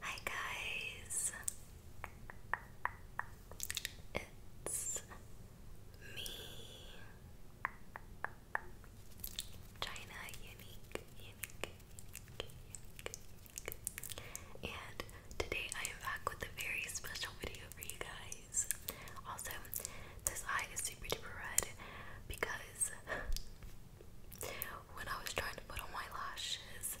Hi guys, it's me, China Unique, and today I am back with a very special video for you guys. Also, this eye is super duper red because when I was trying to put on my lashes,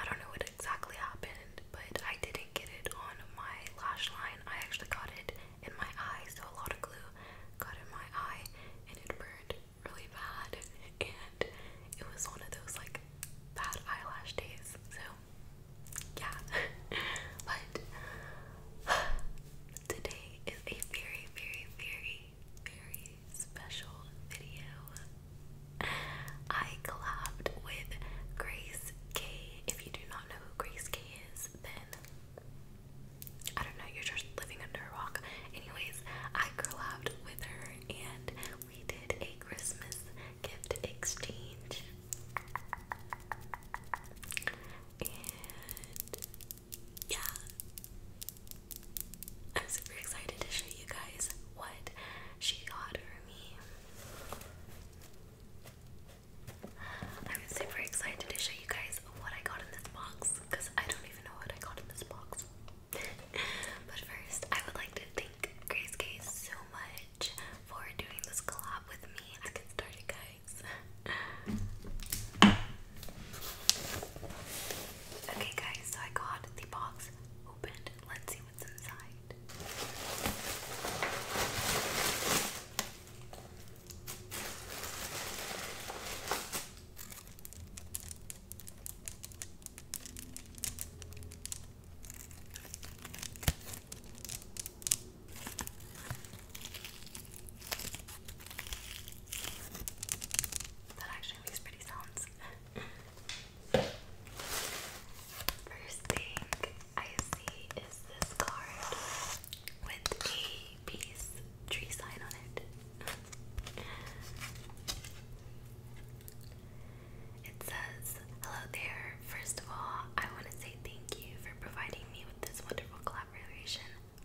I don't know what exactly happened, but I didn't get it on my lash line. I actually got it in my eye, so a lot of glue got in my eye and it burned really bad. And it was one of those like bad eyelash days, so yeah. but Today is a very, very, very, very special video. I collabed with Grace K. If you do not know who Grace K is, then I don't know, you're just living under a rock. Anyways, I collabed with her and we did a Christmas gift exchange. And yeah, I'm super excited to show you guys what she got for me. I'm super excited to show you guys what I got in this box because I don't even know what I got in this box. but first, I would like to thank Grace K so much for doing this collab with me. Let's get started, guys guys. okay, guys, so I got the box opened. Let's see what's inside. That actually makes pretty sounds. First thing I see is this card with a peace tree sign on it. It says, Hello there. First of all, I want to say thank you for providing me with this wonderful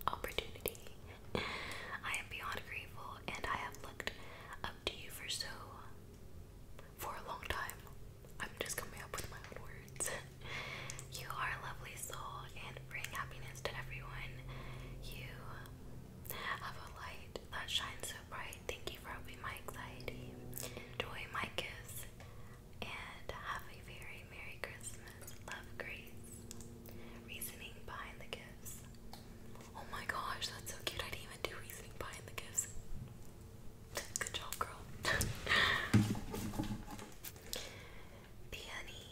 opportunity. I am beyond grateful and I have looked up to you for so for a long time. I'm just coming up with my words. you are a lovely soul and bring happiness to everyone. You have a light that shines so bright. Thank you for helping my anxiety. Enjoy my kiss and have a very Merry Christmas. Love, Grace. Reasoning behind the gifts. Oh my gosh, that's so cute. I didn't even do reasoning behind the gifts. Good job, girl. Peony.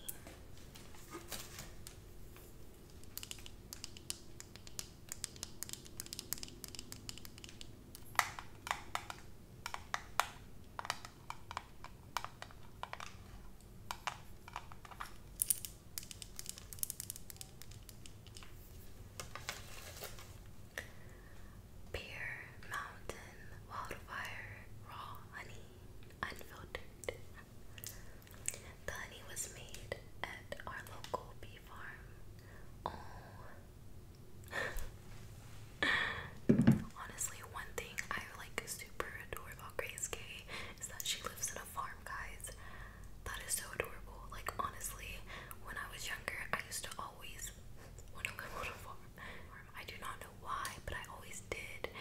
Beer Mountain Wildfire Raw Honey Unfiltered. The honey was made at our local bee farm. Oh, Honestly, one thing I like super adore about Grace Gay is that she lives in a farm, guys. That is so adorable. Like honestly, when I was younger, I used to always want to live on a farm. I do not know why, but I always did.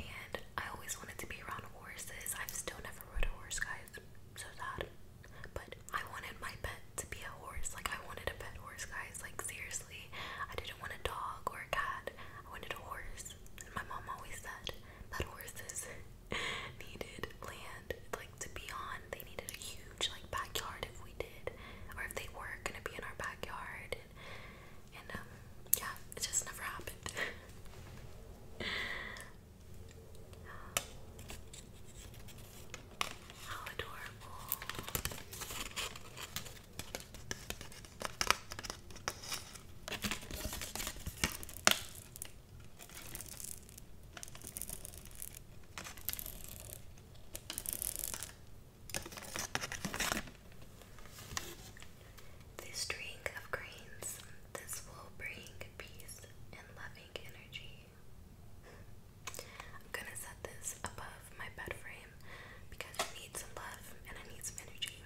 And I always wanted to be around horses. I've still never rode a horse, guys. So sad. But I wanted my pet to be a horse. Like I wanted a pet horse, guys guys. Like, seriously, I didn't want a dog or a cat, I wanted a horse. And my mom always said that horses needed land, like, to be on. They needed a huge, like, backyard if we did, or if they were gonna be in our backyard. And, and um, yeah, it just never happened. This string of grains, this will bring peace and loving energy I'm gonna set this above my bed frame because it needs some love and I need some energy.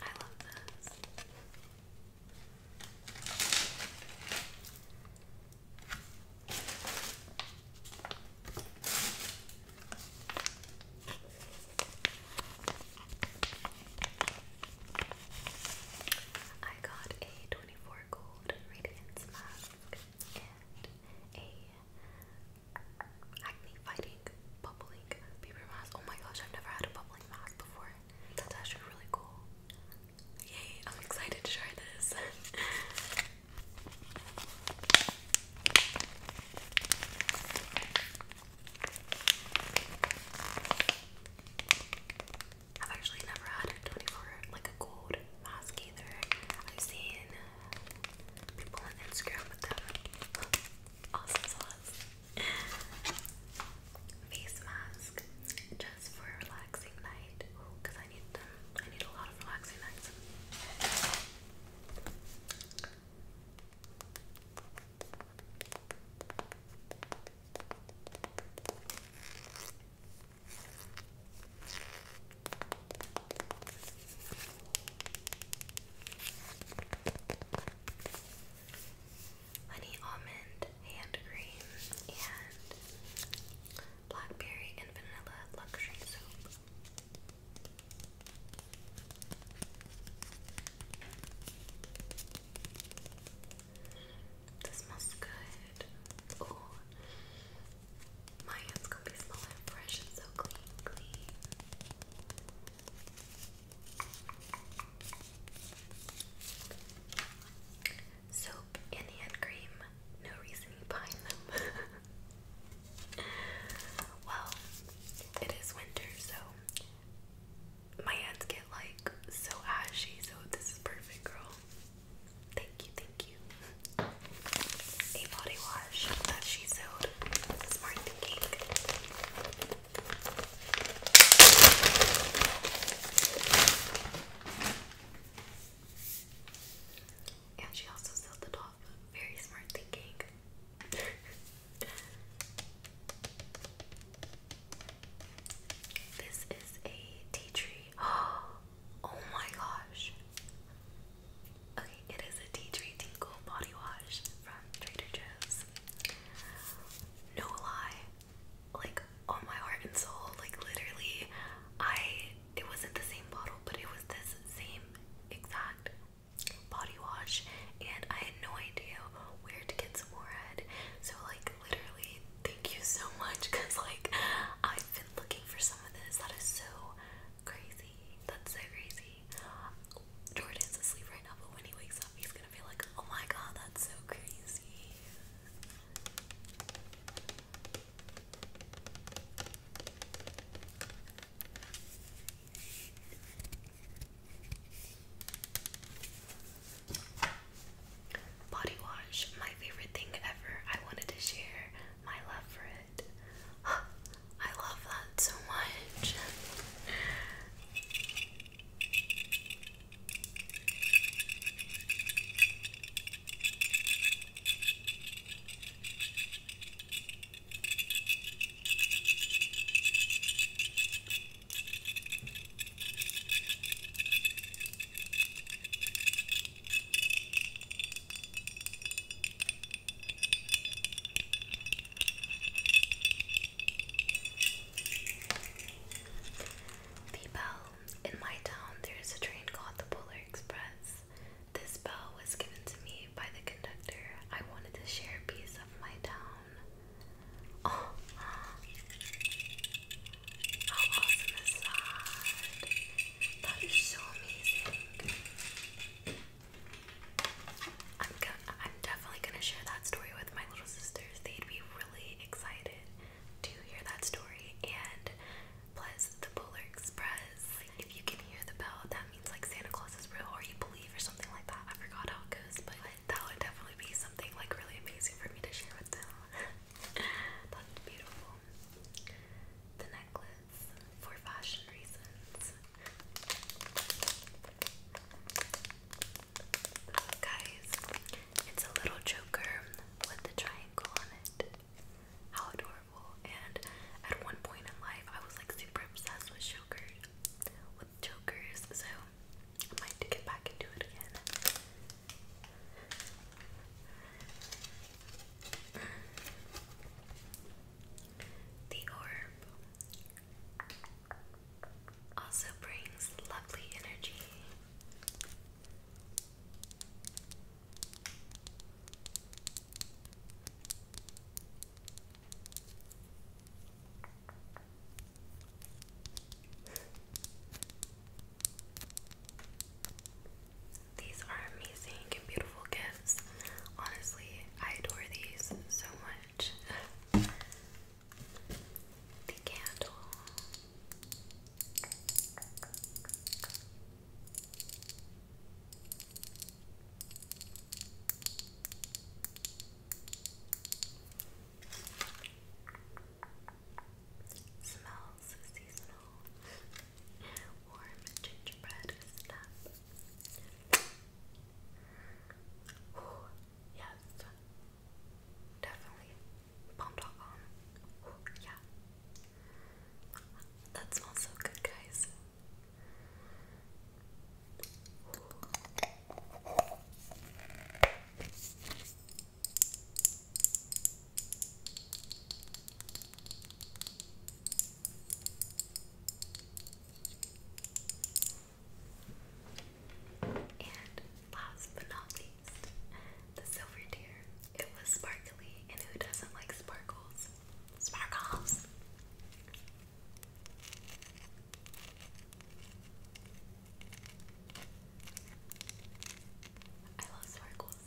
I love this. I got a 24 gold radiance mask and a acne fighting bubbling paper mask. Oh my gosh, I've never had a bubbling mask before. That's actually really cool. Yay, I'm excited to try this. I've actually never had a 24 like a gold mask either. I've seen people on Instagram with them. awesome sauce. Face mask just for a relaxing night. Because I need I need a lot of relaxing nights. Honey almond hand cream and blackberry and vanilla luxury soap. This smells good. Oh, my hands gonna be smelling fresh and so clean, Soap and hand cream. No reasoning behind them. well, it is winter, so my hands get like so ashy, so this is perfect, girl. Thank you, thank you. A body wash that she sewed. Smart thinking. And she also sold the doll very smart thinking. this is a tea tree. Oh my gosh. Okay, it is a tea tree tingle body wash from Trader Joe's. No lie, like on my heart and soul, like literally, I it wasn't the same bottle, but it was this same exact body wash and I had no idea where to get some more head. So like literally thank you so much because like I've been looking for some of this. That is so crazy. That's so crazy. Jordan's asleep right now, but when he wakes up he's gonna be like, oh my god, that's so crazy. Body wash, my favorite thing ever. I wanted to share my love for it. I love that so much. People in my town, there is a train called the Polar Express this. bell was given to me by the conductor. I wanted to share a piece of my town. Oh, how awesome is that? That is so amazing. I'm gonna, I'm definitely gonna share that story with my little sisters. They'd be really excited to hear that story, and plus the Polar Express. If you can hear the bell, that means like Santa Claus is real or you believe or something like that. I forgot how it goes, but that would definitely be something like really amazing for me to share with them. That's beautiful. The necklace for fashion reasons. Guys, it's a little choker with a triangle on it. How adorable. And at one point in life, I was like super obsessed with chokers, with chokers. So I might get back into it again. The orb also brings lovely energy. These are amazing and beautiful gifts. Honestly, I adore these so much. the candle. Smells seasonal. Warm gingerbread snap. Ooh, yes. Definitely. Palm.com. Yeah. That smells so good, guys. And last but not least, the silver deer. It was sparkly, and who doesn't like sparkles? Sparkles! I love sparkles.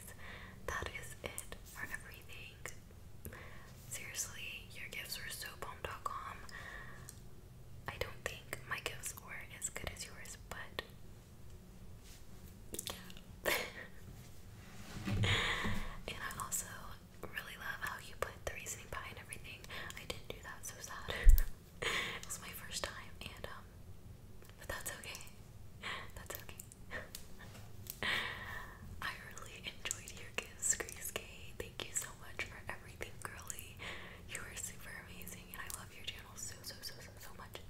that is it for everything. Seriously, your gifts were so bomb.com. I don't think my gifts were as good as yours, but and I also really love how you put the reasoning behind everything. I didn't do that, so sad. it was my first time, and um, but that's okay. That's okay. I really enjoyed your gifts, Grace K. Thank you so much for everything, girly. You are super amazing, and I love your channel so, so, so, so, so much.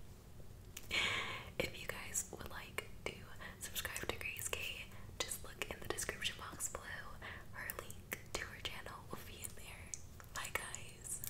If you guys would like to subscribe to Grace K, just look in the description box below. Her link to her channel will be in there. Bye, guys.